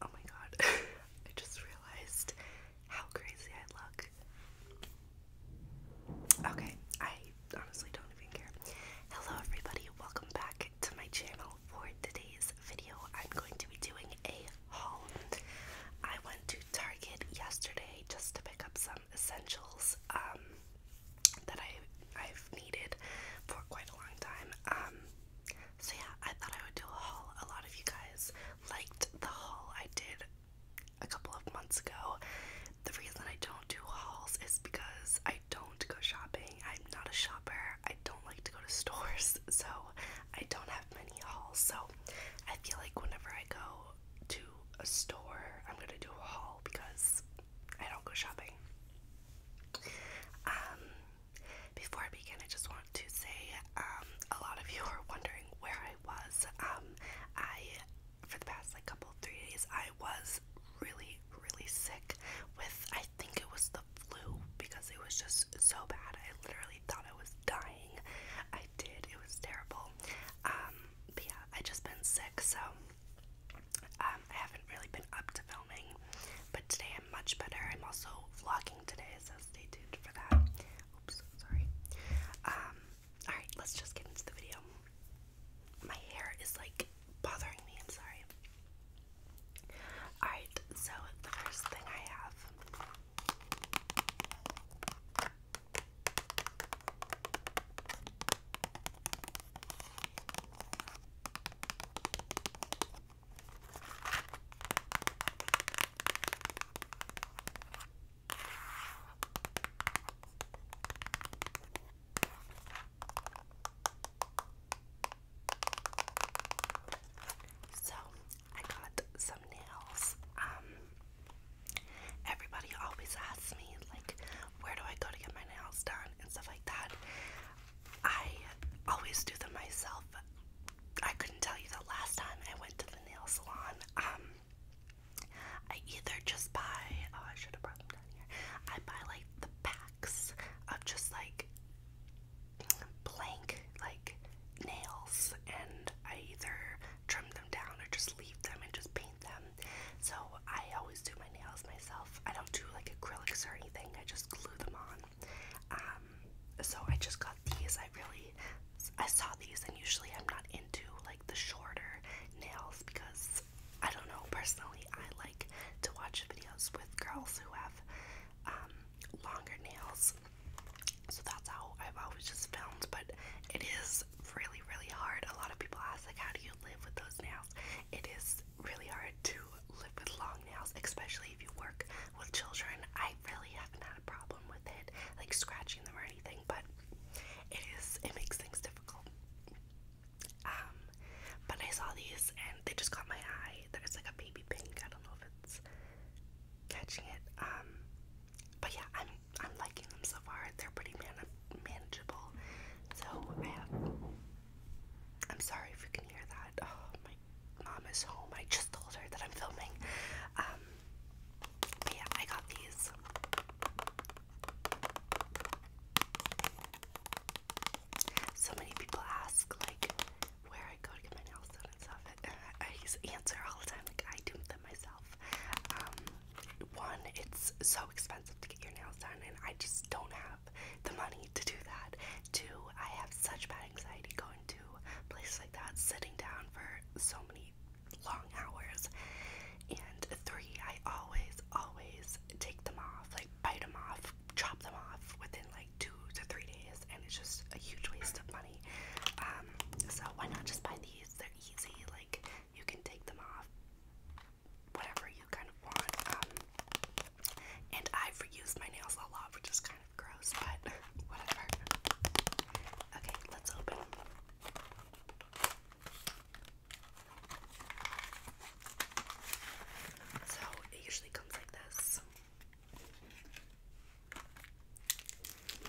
Oh my god, I just realized how crazy I look. Okay, I honestly don't even care. Hello, everybody, welcome back to my channel. For today's video, I'm going to be doing a haul. I went to Target yesterday just to pick up some essentials um, that I, I've needed for quite a long time. Um, so yeah, I thought I would do a haul. A lot of you guys liked the haul I did a couple of months ago. The reason I don't do hauls is because I don't go shopping. I'm not a shopper. I don't like to go to stores, so I don't have many hauls. So I feel like whenever I go to a store, I'm gonna do a haul because I don't go shopping. Um, before I begin, I just want to say um, a lot of you are wondering where I was. Um, I, for the past like couple three days, I was really, really sick with, I think it was the flu because it was just so bad. I literally thought I was dying. I did. It was terrible. Um, but yeah, I just been sick, so. Uh, um, I haven't really been up to filming, but today I'm much better. I'm also vlogging today, so stay tuned for that. Oops, sorry. Um, alright, let's just get into the video. My hair is like bothering me, I'm sorry. Alright, so the first thing I have. So, I got some nails. Um, everybody always asks me, like, where do I go to get my nails done and stuff like that. I always do them myself. I couldn't tell you the last time I went to the nail salon. Um, I either just buy, oh, I should have brought them down here. I buy like the packs of just like blank, like nails, and I either trim them down or just leave them and just paint them. So I always do my nails myself. I don't do like acrylics or anything, I just glue them on. Um, so I just got these. I really I saw these and usually I'm not into like the shorter nails because I don't know personally I like to watch videos with girls who have um longer nails. So that's how I've always just filmed, but it is really, really hard. A lot of people ask like how do you live with those nails? It is it's really hard to live with long nails, especially if you work with children. I really haven't had a problem with it, like scratching them or anything, but it is it makes things difficult. Um, but I saw these and they just caught my eye. That There's like a baby pink. I don't know if it's catching it. Um, but yeah, I'm I'm liking them so far. They're pretty man manageable. So I have I'm sorry if you can hear that. Oh, my mom is home. I just told her that I'm filming. Um, yeah, I got these. So many people ask, like, where I go to get my nails done and stuff. And I answer all the time, like, I do them myself. Um, one, it's so expensive to get your nails done, and I just don't have the money to do that. Two, I have such bad anxiety going to places like that, sitting down for so many long hours. And three, I always, always take them off, like bite them off, chop them off within like two to three days, and it's just a huge waste of money. Um, so why not just buy these? They're easy, like you can take them off whatever you kind of want. Um, and I've reused my nails a lot, which is kind of gross, but whatever. Okay, let's open. So it usually comes like this.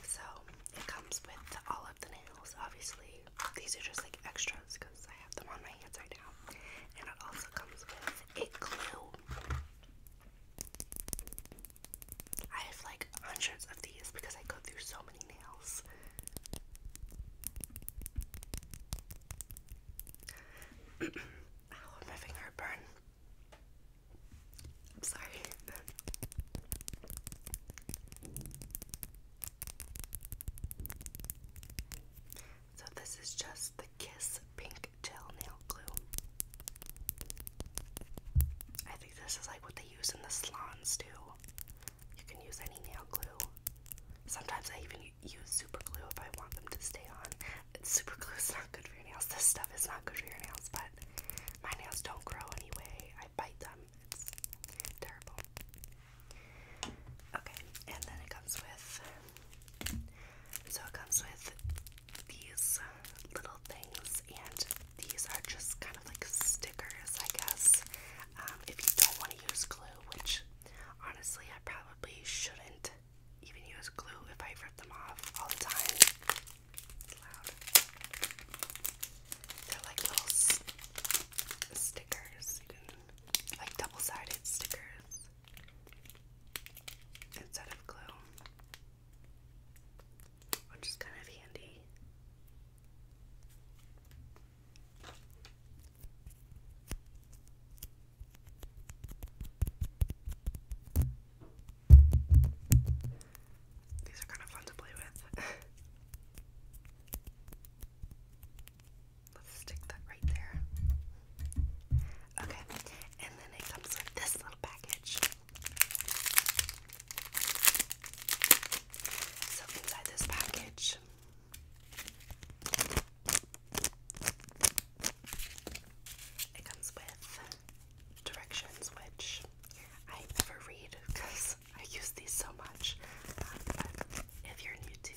So it comes with all of the nails, obviously. These are just like extras because I have them on my hands right now. And it also comes with a glue. I have like hundreds of these because I go through so many nails. oh, my finger burned. I'm sorry. So this is just the Kiss Pink Gel Nail Glue. I think this is like what they use in the salons too. You can use any nail glue. Sometimes I even use super glue if I want them to stay on. super glue is not good for your nails. This stuff is not good for your nails, but my nails don't grow anyway. I bite them. It's terrible. Okay, and then it comes with so it comes with these little things, and these are just kind of like stickers, I guess. Um, if you don't want to use glue, which honestly, I probably shouldn't even use glue if I rip them off all the time. They're like little stickers like double sided stickers instead of glue, which is kind of handy. These are kind of fun to play with. Let's stick that right there. Okay, and then it comes with this little package. So inside this package it comes with directions which I never read because I use these so much. Um, if you're new to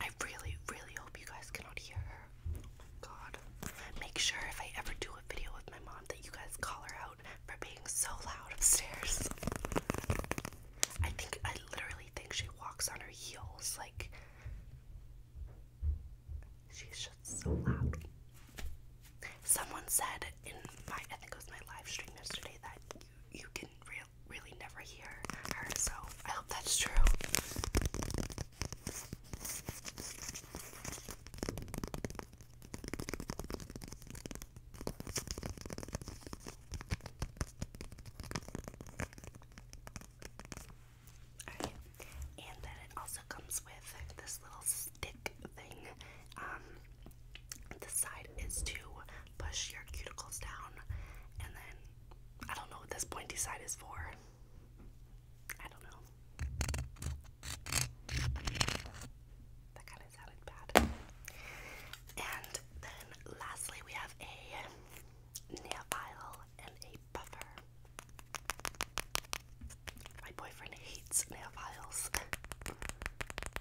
I really, really hope you guys cannot hear her. god. Make sure if I ever do a video with my mom that you guys call her out for being so loud upstairs. I think, I literally think she walks on her heels. Like, She's just so loud. Someone said in my, I think it was my live stream yesterday, that you, can re really never hear her, so I hope that's true. Alright, and then it also comes with this little stick thing. Um, the side is to push your cuticles down, and then I don't know what this pointy side is for. I don't know. That kind of sounded bad. And then lastly, we have a nail file and a buffer. My boyfriend hates nail files.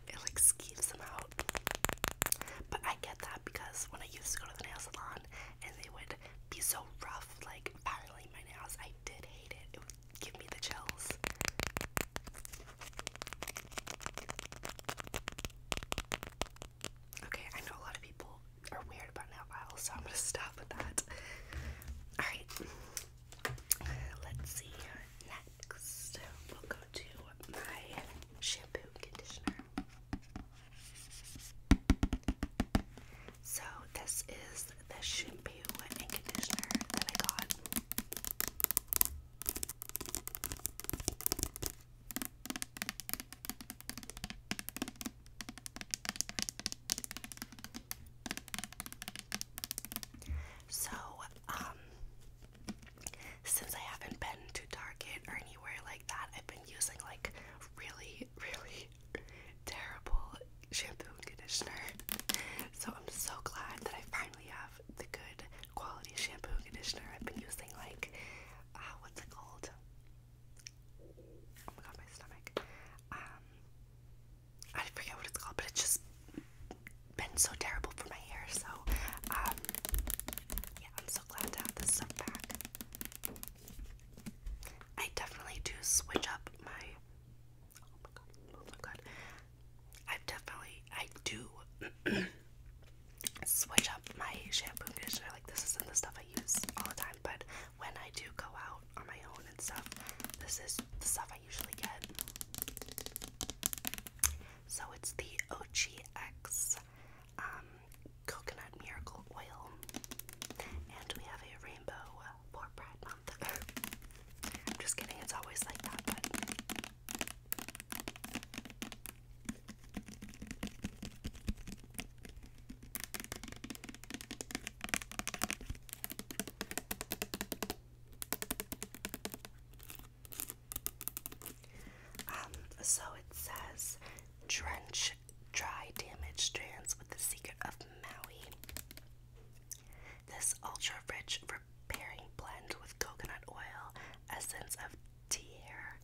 it like skews them out. But I get that because when I used to go to the nail salon and they would be so rough, like filing my nails, I did hate it. It would give me the chills. Okay, I know a lot of people are weird about nail files, so I'm gonna stop with that. Alright. Uh, let's see next. We'll go to my shampoo conditioner. So this is the shampoo and conditioner that I got. So, um, since I haven't been to Target or anywhere like that, I've been using like really, really terrible shampoo and conditioner. So, I'm so glad that I finally have the good quality shampoo and conditioner. I've been using like, uh, what's it called? Oh my god, my stomach. Um, I forget what it's called, but it's just been so terrible for my hair. So, um, yeah, I'm so glad to have this stuff back. I definitely do switch up my. Oh my god! Oh my god! I definitely I do switch up my shampoo conditioner. Like this isn't the stuff I use all the time, but when I do go out on my own and stuff, this is the stuff I usually get. So it's the OGX um, Coconut Miracle Oil, and we have a rainbow for Pride Month. I'm just kidding, it's always like that, um, so it says drench dry damaged strands with the secret of Maui. This ultra rich repairing blend with coconut oil, essence of tea hair,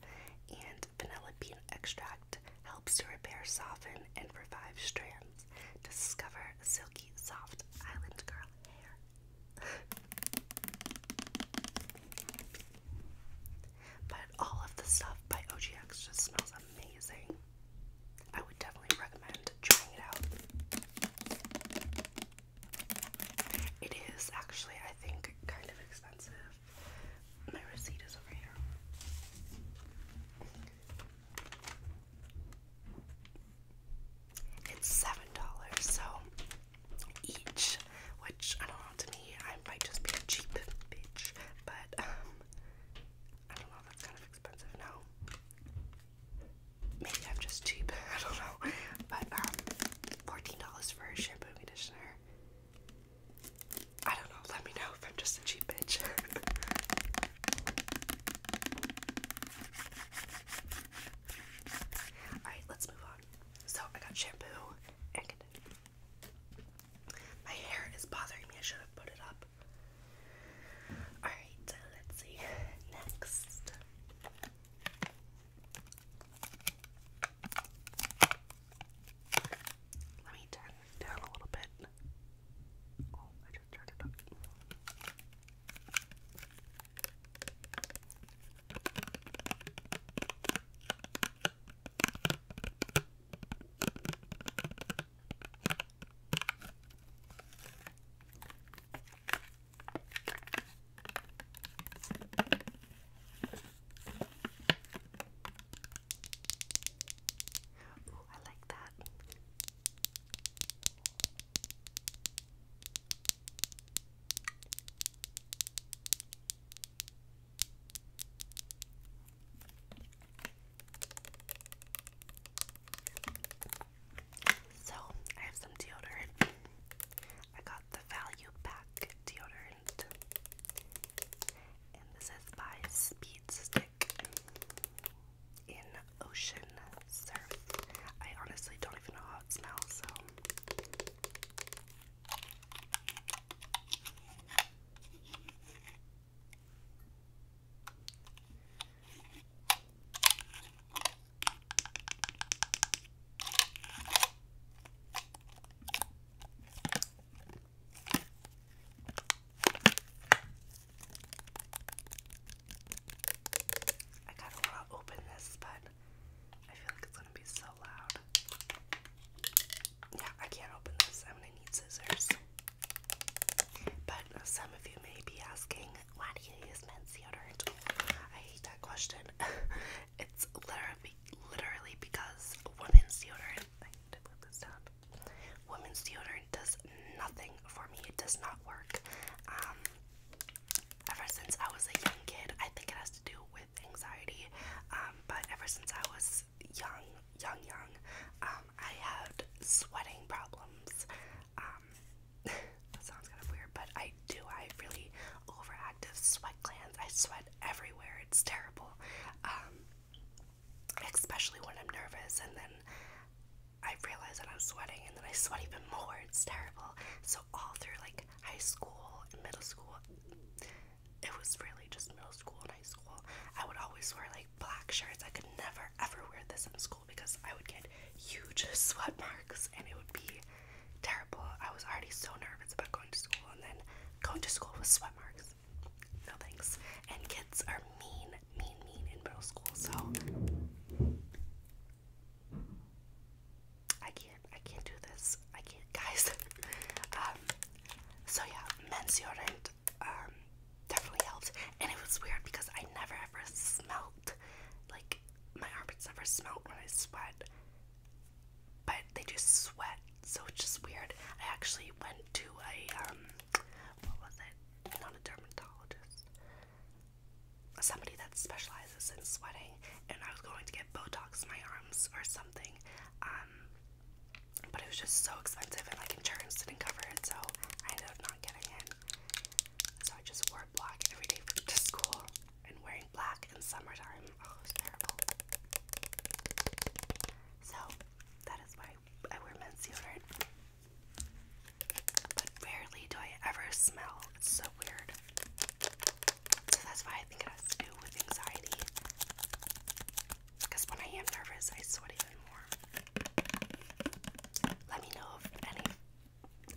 and vanilla bean extract helps to repair, soften, and revive strands. Discover silky, soft island girl hair. but all of the stuff by OGX just smells amazing. I would definitely recommend trying it out. It is actually, I think, kind of expensive. My receipt is over here. It's seven dollars, so each, which I don't know to me, I might just be a cheap bitch, but um, I don't know that's kind of expensive now. Maybe I'm just cheap, I don't know. But um, $14 for a shampoo conditioner. I don't know, let me know if I'm just a cheap bitch. Alright, let's move on. So, I got shampoo and conditioner. My hair is bothering me, I should have put it up. Alright, let's see. Next. Let me down a little bit. Oh, I just turned it up. Ooh, I like that. So, I have some deodorant. I got the value pack deodorant. And this is by Speed Stick in Ocean Surf. I honestly don't even know how it smells, so. I kind of want to open this, but I feel like it's going to be so loud. Yeah, I can't open this. I'm going to need scissors. But some of you may be asking, why do you use men's deodorant? I hate that question. it's literally, literally because women's deodorant. I need Women's deodorant does nothing for me. It does not work. Um, ever since I was a young kid, I think it has to do with anxiety. Um, but ever since I was young, young, young, um, I had sweating problems. that sounds kind of weird, but I do. I really overactive sweat glands. I sweat everywhere. It's terrible especially when I'm nervous, and then I realize that I'm sweating, and then I sweat even more. It's terrible. So, all through like high school and middle school, it was really just middle school and high school. I would always wear like black shirts. I could never ever wear this in school because I would get huge sweat marks and it would be terrible. I was already so nervous about going to school and then going to school with sweat marks. No thanks. And kids are mean, mean, mean in middle school, so I can't I can't do this. I can't guys. um so yeah, mensurant um definitely helps. And it was weird because I never ever smelt like my armpits never smelt when I sweat. But they just sweat so it's just weird. I actually went to a um what was it? Not a dermatologist. Somebody that specializes in sweating and I was going to get Botox in my arms or something. Um but it was just so expensive and like insurance didn't cover it so I ended up not getting it. So I just wore black every day to school and wearing black in summertime. Oh, was terrible. So that is why I wear men's underwear. But rarely do I ever smell. It's so weird. So that's why I think it has to do with anxiety. Because when I am nervous, I sweat even more. Let me know if any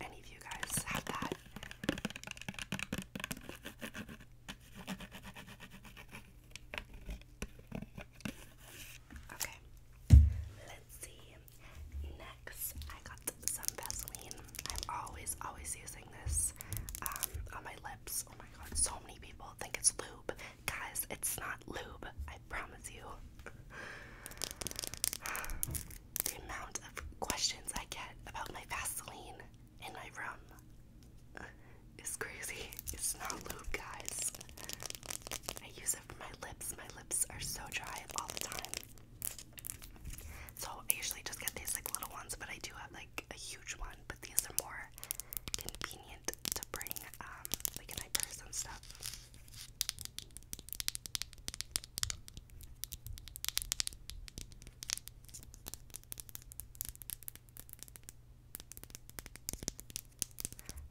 any of you guys have that. Okay, let's see. Next, I got some Vaseline. I'm always, always using this um, on my lips. Oh my god, so many people think it's lube. Guys, it's not lube, I promise you. the amount of questions I get about my Vaseline in my room. Uh, it's crazy. It's not lube, guys. I use it for my lips. My lips are so dry all the time. So I usually just get these like little ones, but I do have like a huge one. But these are more convenient to bring, um, like in my purse and stuff.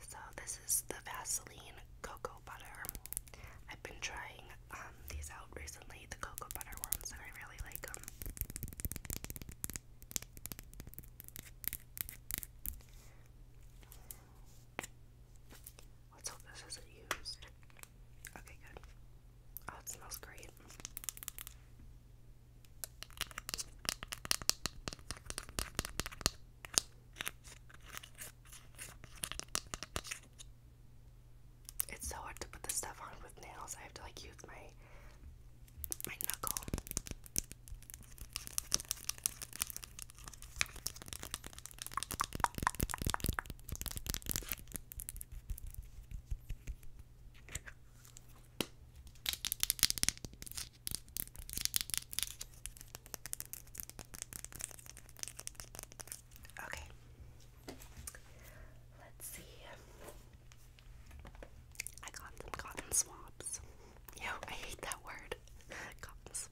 So this is the Vaseline cocoa butter. I've been trying um, these out recently, the cocoa butter ones, and I really like them. Let's hope this isn't used. Okay, good. Oh, it smells great. It's so hard to put this stuff on with nails. I have to like use my my knuckle. Okay. Let's see. I got some cotton swabs. Yo, I hate that word. Cotton swabs.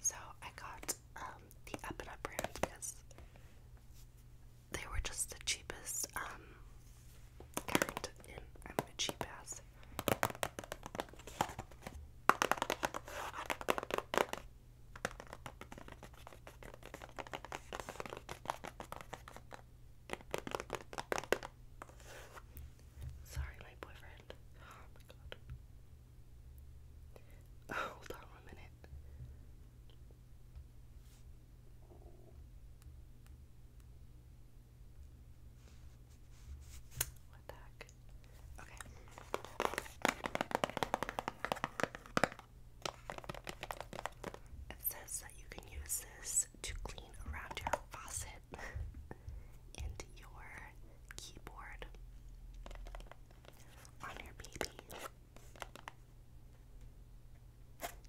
So I got um, the Up and Up brand because they were just the cheapest I'm um, a cheap ass. Sorry, my boyfriend. Oh my god. Oh, hold on one minute. What the heck? Okay. It says that you can use this to clean around your faucet. and your keyboard on your baby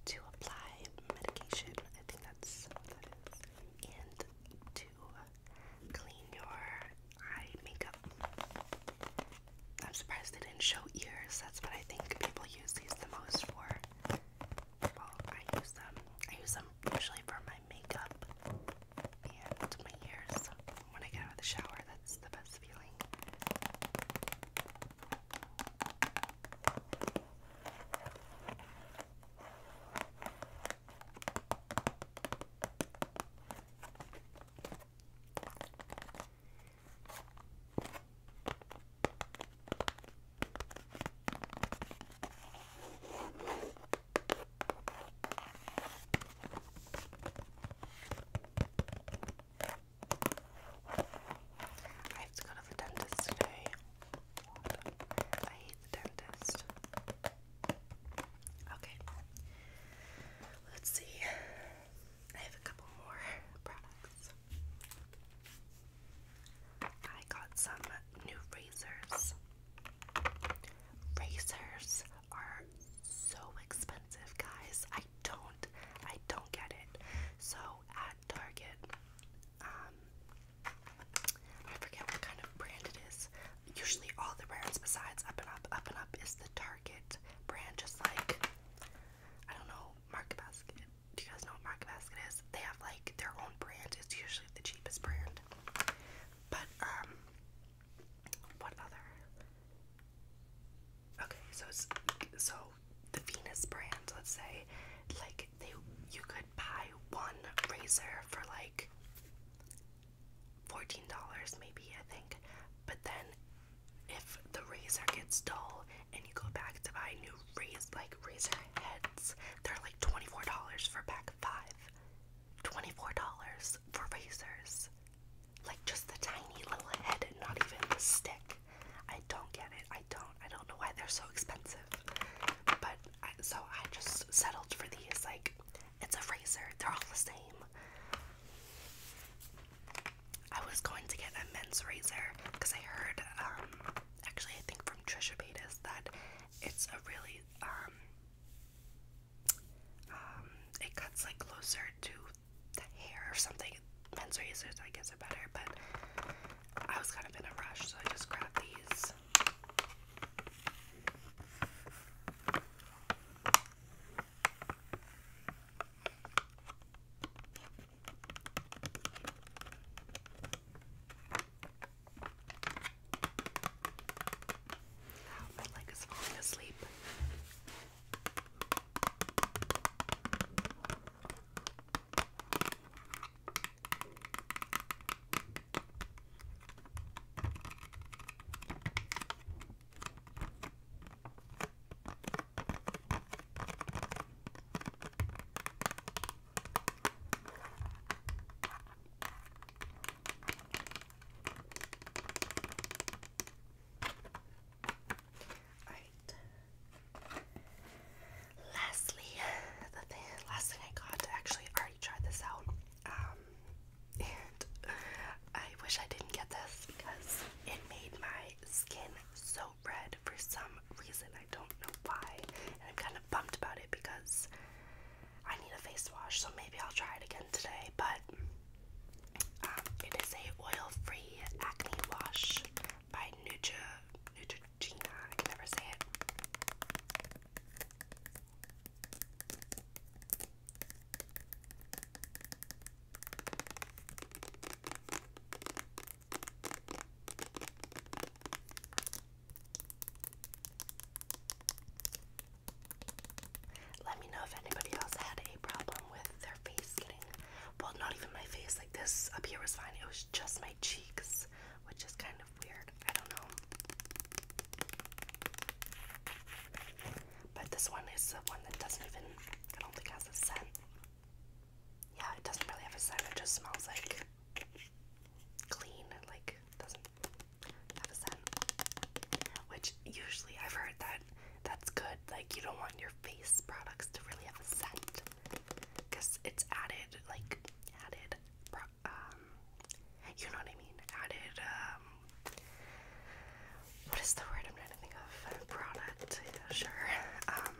to apply medication. I think that's what that is. And to clean your eye makeup. I'm surprised they didn't show ears. That's what I think people use these the most for. Well, I use them. I use them usually for my makeup and my ears. When I get out of the shower, that's the best feeling. I have to go to the dentist today. I hate the dentist. Okay. Let's see. I have a couple more products. I got some new razors. Razors are so expensive, guys. I don't, I don't get it. So at Target, um, I forget what kind of brand it is. Usually, all the brands besides Up and Up, Up and Up is the Target brand, just like I don't know, Market Basket, do you guys know what Market Basket is? They have like their own brand. It's usually the cheapest brand. But um what other? Okay, so it's so the Venus brand, let's say, like they you could buy one razor for like $14 maybe, I think. But then if the razor gets dull, and you go back to buy new razor like razor heads. They're like $24 for pack of dollars for razors. Like just the tiny little head and not even the stick. I don't get it. I don't. I don't know why they're so expensive. But so I just settled for these. Like it's a razor. They're all the same. I was going to get a men's razor because I heard um, actually I think from Trisha Paytas that it's a really um, um it cuts like closer to the hair or something. Men's razors I guess are better, but I was kind of in a rush, so I just grabbed these. Oh, my leg is falling asleep. Alright. Lastly, the last thing I got, actually already tried this out. Um, and I wish I didn't get this because it made my skin so red for some reason. I don't know why. And I'm kind of bummed about it because I need a face wash, so maybe I'll try it again today. But um, it is a oil-free acne wash by Nutra Neutrogena. I never say it. Let me know if anybody else had a problem with their face getting well, not even my face, like this up here was fine, it was just my cheeks, which is kind of weird. I don't know. But this one is the one that doesn't even, I don't think has a scent. Yeah, it doesn't really have a scent. It just smells like clean. Like doesn't have a scent. Which usually I've heard that that's good. Like you don't want your face products to really have a scent because it's added like added um you know what I mean added um what is the word I'm trying to think of product sure um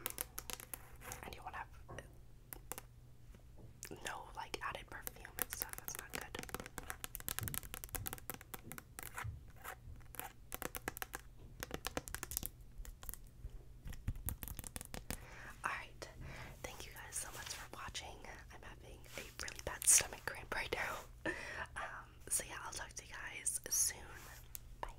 and you want to have uh, no like added perfume and stuff. That's not good. Alright, thank you guys so much for watching. I'm having a really bad stomach cramp right now. Um, so, yeah, I'll talk to you guys soon. Bye.